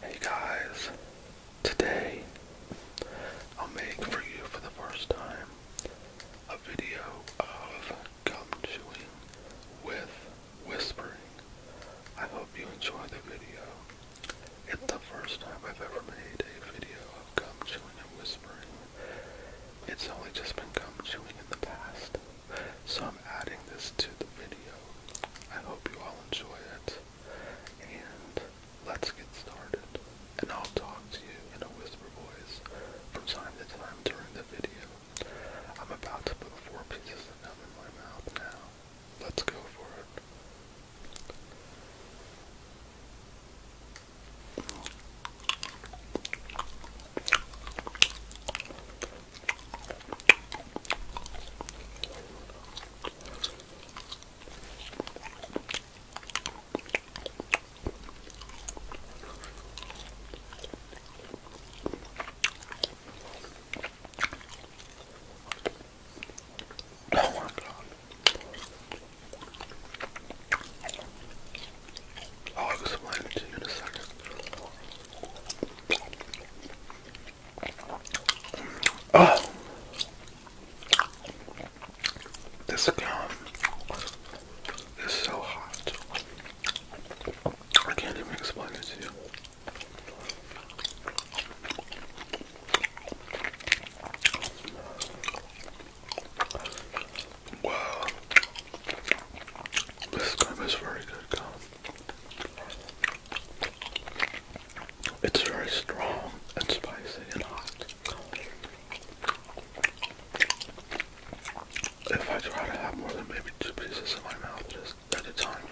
Hey guys, today I'll make for you for the first time a video of gum chewing with whispering. I hope you enjoy the video. It's the first time I've ever made a video of gum chewing and whispering. It's only just been gum chewing in the past, so I'm adding this to the video. I hope you all enjoy it, and let's get started. And I'll talk to you in a whisper voice from time to time during the video. I'm about to put four pieces of them in my mouth now. Let's go for it. Oh my god. I'll explain it to you in a second. Oh! This gum is so hot. I can't even explain it to you. Wow, this gum is very good It's very strong and spicy and hot if I try to have more than maybe two pieces in my mouth just at a time,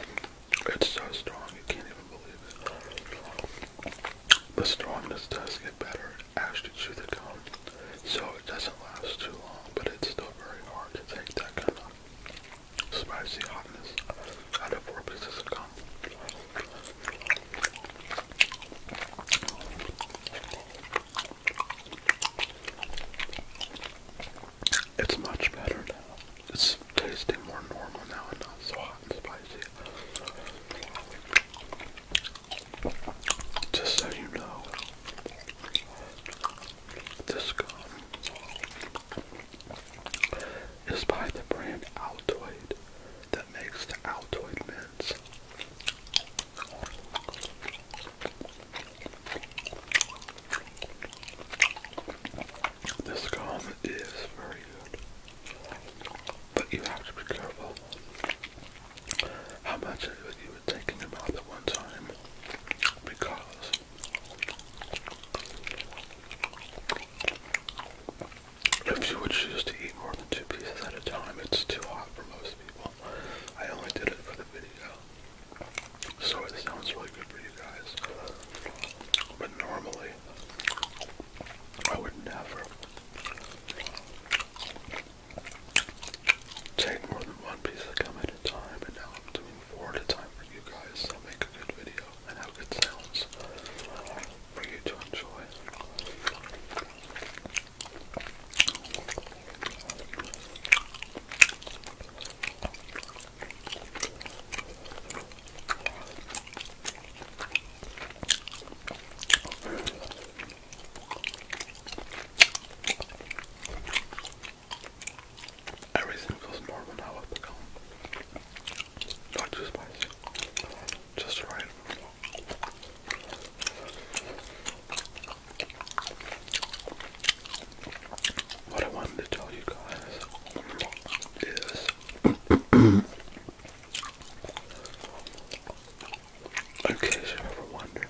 it's so strong you can't even believe it. The strongness does get better as you chew the gum, so it doesn't last too long, but it's still very hard to take that kind of spicy hotness out of four pieces of gum. It's much better now. It's tasting more normal now and not so hot and spicy. Just so you know, this gum is by the brand Altoid that makes the Altoid mints. This gum is very good, but you have to be careful how much of it you were taking about at one time because if you would choose to eat more than two pieces at a time, it's too hot for most people. I only did it for the video. So it sounds really good for you guys. But normally, I would never take more than one piece of gum at a time, But now I'm doing four at a time for you guys. So make a good video and have good sounds for you to enjoy. Everything feels normal now Not too spicy. Just right. What I wanted to tell you guys is in case you ever wonder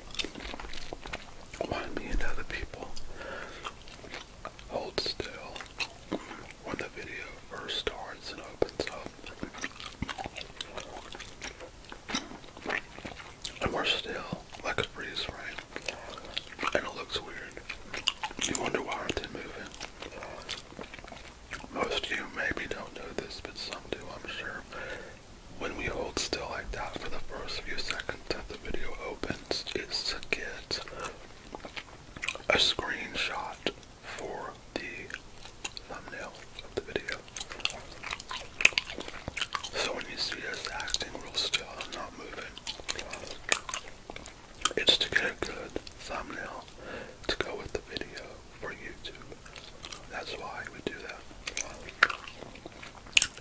why me and other people hold still when the video first starts and opens up. And we're still like a breeze, right? And it looks weird. You wonder why aren't they moving? Most of you maybe don't know this, but some do, I'm sure. When we hold still like that for the first few seconds that the video opens, it's to get a screenshot for the thumbnail of the video. So when you see us acting real still and it's to get a good thumbnail to go with the video for YouTube. That's why we do that.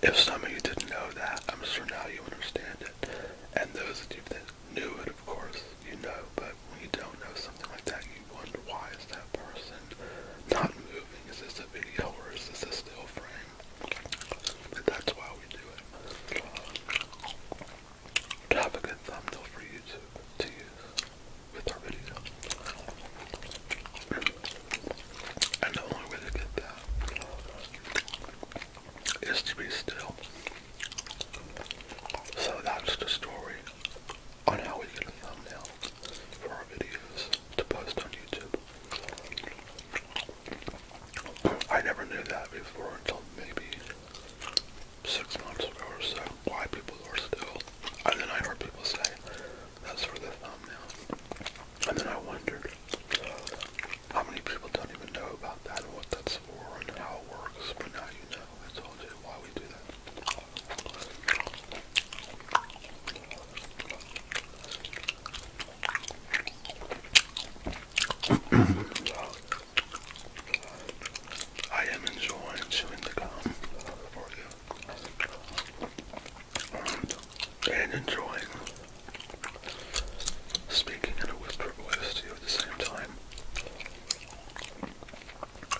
If some of you didn't know that, I'm sure now you understand it. And those of you that knew it, of course, you know. But when you don't know something like that, you wonder why is that person not moving? Is this a video or is this a still frame? that's why we do it. Uh, to have a good thumbnail for you to, use with our video. And the only way to get that is to be still. So that's the story on how we get a thumbnail for our videos to post on YouTube. I never knew that before until maybe six months ago or so. Why people are still, and then I heard people say that's for the thumbnail, and then I wondered how many people don't even know about that and what that's for and how it works. But now you know. I told you why we do that. I am enjoying chewing the gum And enjoying speaking in a whisper voice to you at the same time.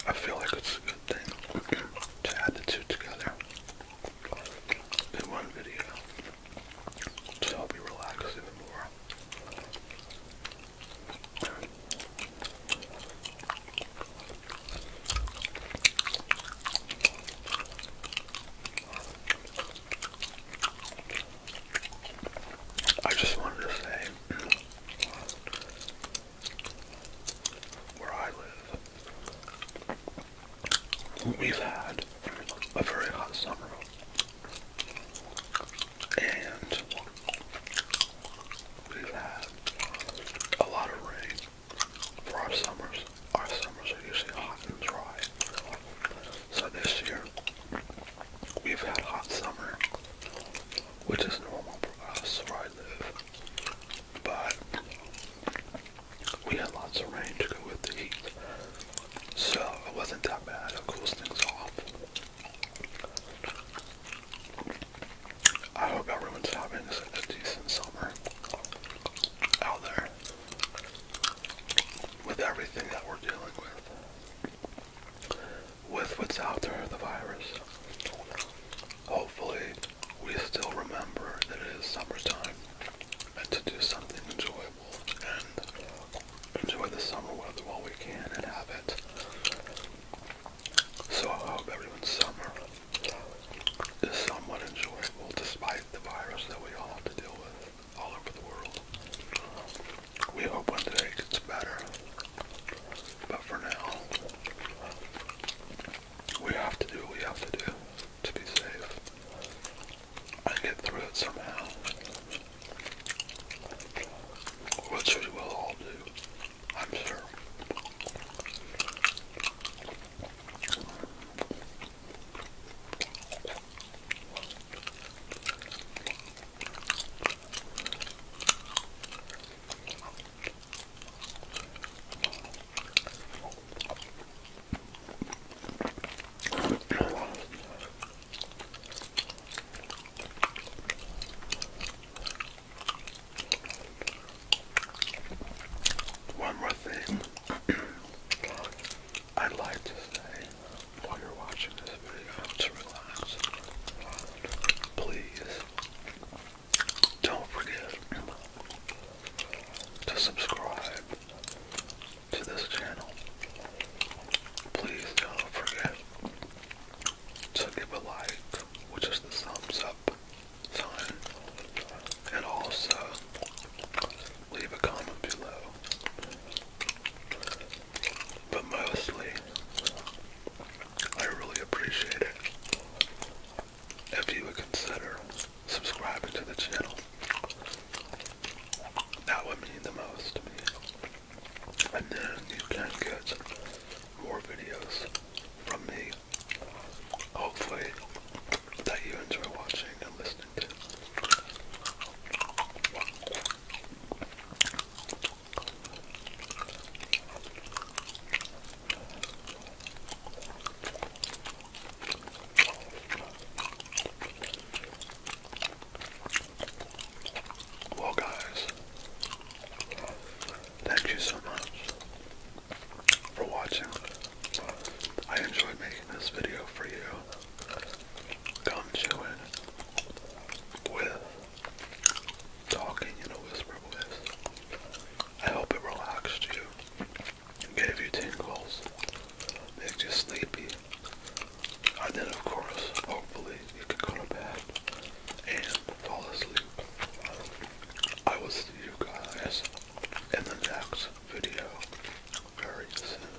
I feel like it's a good thing to add the two together in one video to help you relax even I just wanted to say where I live, we've had a very hot summer. And we've had a lot of rain for our summers. Our summers are usually hot and dry. So this year, we've had a hot summer, which is normal for us where I live. But we had lots of rain to go with the heat, so it wasn't that bad. It cools things off. I hope everyone's having a decent summer out there with everything that we're dealing with, with what's out there, the virus. Hopefully, we still remember that it is summertime and to do something enjoyable and enjoy the summer weather while we can and have it. So I hope everyone's summer is somewhat enjoyable despite the virus that we all have to deal with all over the world. We hope one day it gets better, but for now, we have to do what we have to do to be safe. I get through it somehow. Which we will all do, I'm sure. One more thing I'd like to say while you're watching this video to relax. Please don't forget to subscribe to this channel, please don't forget to give a like, which is the thumbs up sign, and also leave a comment below. But mostly, I really appreciate it if you would consider subscribing to the channel. That would mean the most to me. And then you can get more videos from me. Hopefully that you enjoy watching and listening to. Well, guys, thank you so much for watching. I enjoyed making this video for you. Come chewing with talking in a whisper voice. I hope it relaxed you gave you tingles, makes you sleepy. And then, of course, hopefully, you can go to bed and fall asleep. I will see you guys in the next video very soon.